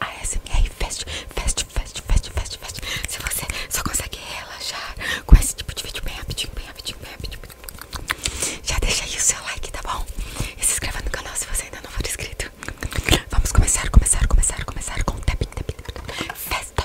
a ASMR Fest, Fest, Fest, Fest, Fest, Fest. Se você só consegue relaxar com esse tipo de vídeo bem rapidinho, bem rapidinho, bem rapidinho. Já deixa aí o seu like, tá bom? E se inscreva no canal se você ainda não for inscrito. Vamos começar, começar, começar, começar com tapping, tapping, tapping. Festa.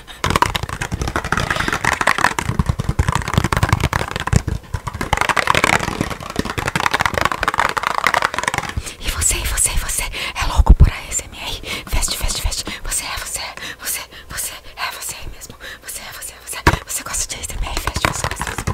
E você, e você, e você é louco por a ASMR? Veste, veste, veste. Você é, você é, você, você é, você é mesmo. Você é, você é, você é. Você gosta de ASMR? Veste, você, você, você.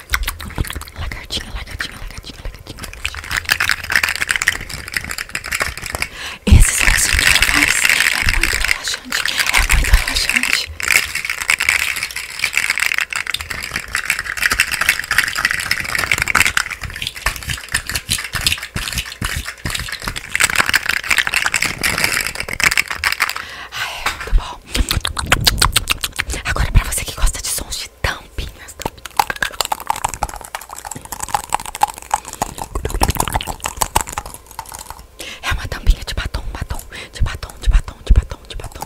Lagartinha, lagartinha, lagartinha, lagartinha, Esse sonzinho que ela faz é muito relaxante, é muito relaxante. Ah, é muito tá bom. Agora pra você que gosta de sons de tão tampinhas, É uma tampinha de batom, batom, de batom, de batom, de batom, de batom.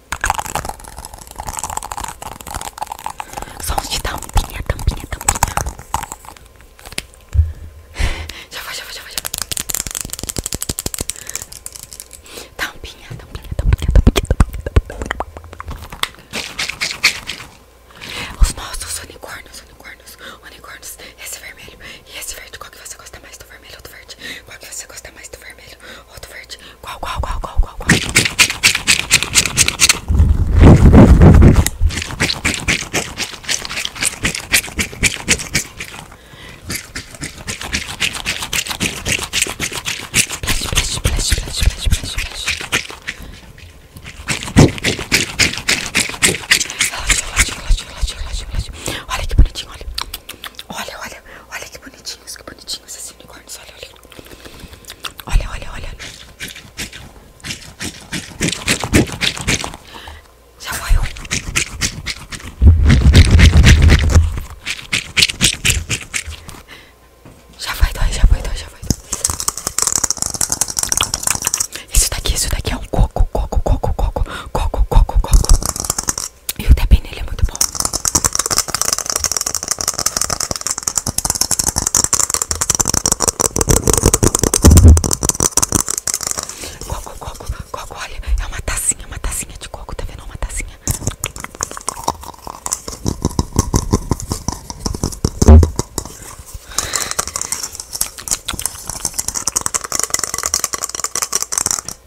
Sons de tampinha, tampinha, tampinha. Já foi, já foi, já foi, já foi. Tampinha, tampinha, tampinha, tampinha, tampinha. Os nossos unicórnios, unicórnios, unicórnios. Esse vermelho e esse verde. Qual que você gosta mais do vermelho ou do verde? Qual que você gosta mais do vermelho outro verde. Qual, qual, qual, qual, qual, qual? Plash, plash, plash, plash, plash, plash, plash. Relaxa, relaxa, relaxa, relaxa, relaxa. Olha que bonitinho, olha. Olha, olha, olha que bonitinhos, que bonitinhos esses unicórnios, olha, olha. Olha, olha, olha. Já vai Já vai já vai já vai Isso daqui, isso daqui é um coco, coco, coco, coco, coco, coco, coco. E o baunilha é muito bom. Coco, coco, coco, olha, é uma tacinha, uma tacinha de coco, tá vendo? É uma tacinha.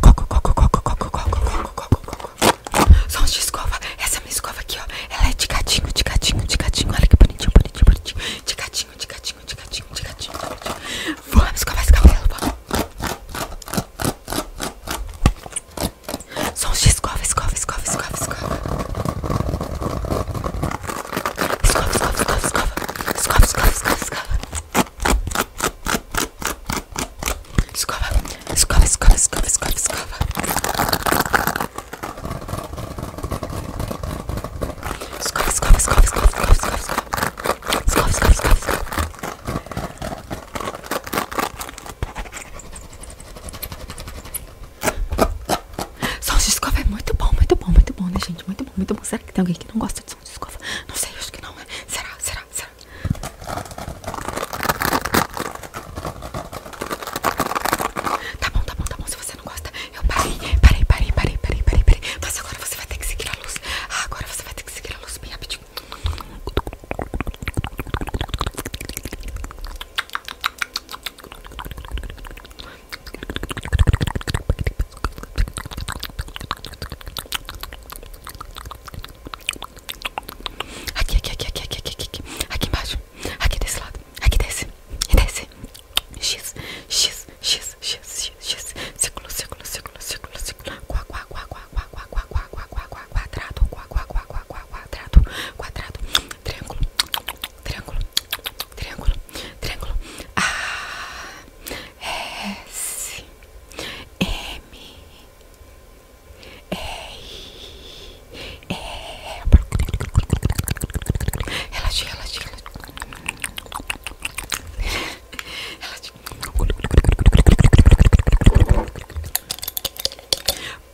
Coco, coco, coco, coco, coco, coco, coco, coco. Sons de escova. Essa minha escova aqui, ó. Ela é de gatinho, de gatinho, de gatinho. Olha que bonitinho, bonitinho, bonitinho. De gatinho, de gatinho, de gatinho, de gatinho. Vamos escovar esse cabelo, vamos. Sons de escova, escova, escova, escova, escova. Escova, escova, escova, escova. Escova, escova, escova, escova. Escova, escova, escova, escova, escova, escova. Escova, escova, escova, escova, escova, escova, escova. Escova, escova, Som de escova é muito bom, muito bom, muito bom, né, gente? Muito bom, muito bom. Será que tem alguém que não gosta de som de escova? Não sei, acho que não. Né? Será, será, será? Tá bom, tá bom, tá bom. Se você não gosta, eu parei, parei, parei, parei, parei, parei, Mas agora você vai ter que seguir a luz. Ah, agora você vai ter que seguir a luz bem rapidinho. Aqui, aqui, aqui, aqui, aqui, aqui, aqui, aqui embaixo, aqui desse lado, aqui desce, e desce. X, X, X, X, X, círculo, círculo, círculo, círculo, círculo, quá, quá, quá, quá, quá, quá, quá, quá, quá, quá, quá, quadrado, quá, quá, quá, quá, quá, quadrado, quadrado, triângulo, triângulo, triângulo, triângulo. A, S, Relaxa, relaxa, relaxa.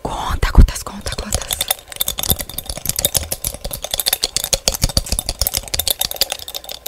Conta, contas, conta, contas.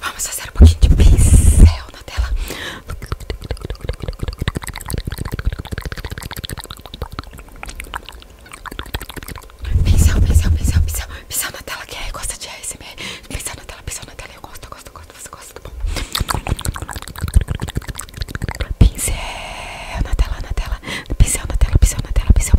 Vamos fazer um pouquinho de pincel na tela. Pincel, pincel, pincel, pincel. Pincel na tela, que é gosta de ASMR. Pincel na tela, pincel na tela. Eu gosto, eu gosto, gosto. Você gosta, Pincel na tela, na tela. Pincel na tela, pincel na tela, pincel.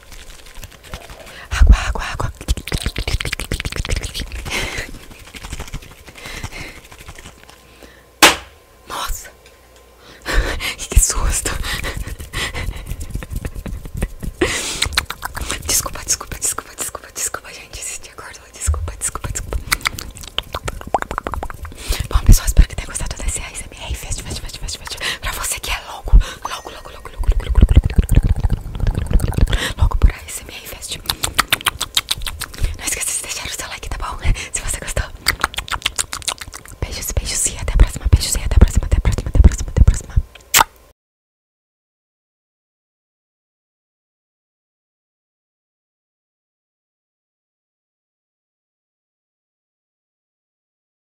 Água, água, água. Nossa, que susto. Desculpa, desculpa, desculpa, desculpa, desculpa, gente. Se te acordou, desculpa, desculpa, desculpa. Bom, pessoal, espero que tenham gostado desse ASMR. Fast, fast, fast, fast, fast. Pra você que é logo, logo, logo logo, logo, logo, logo, logo, logo por aí, se me reinveste. Não esqueça de deixar o seu like, tá bom? Se você gostou. Beijos, beijos e até a próxima. Beijos e até a próxima, até a próxima, até a próxima, até a próxima.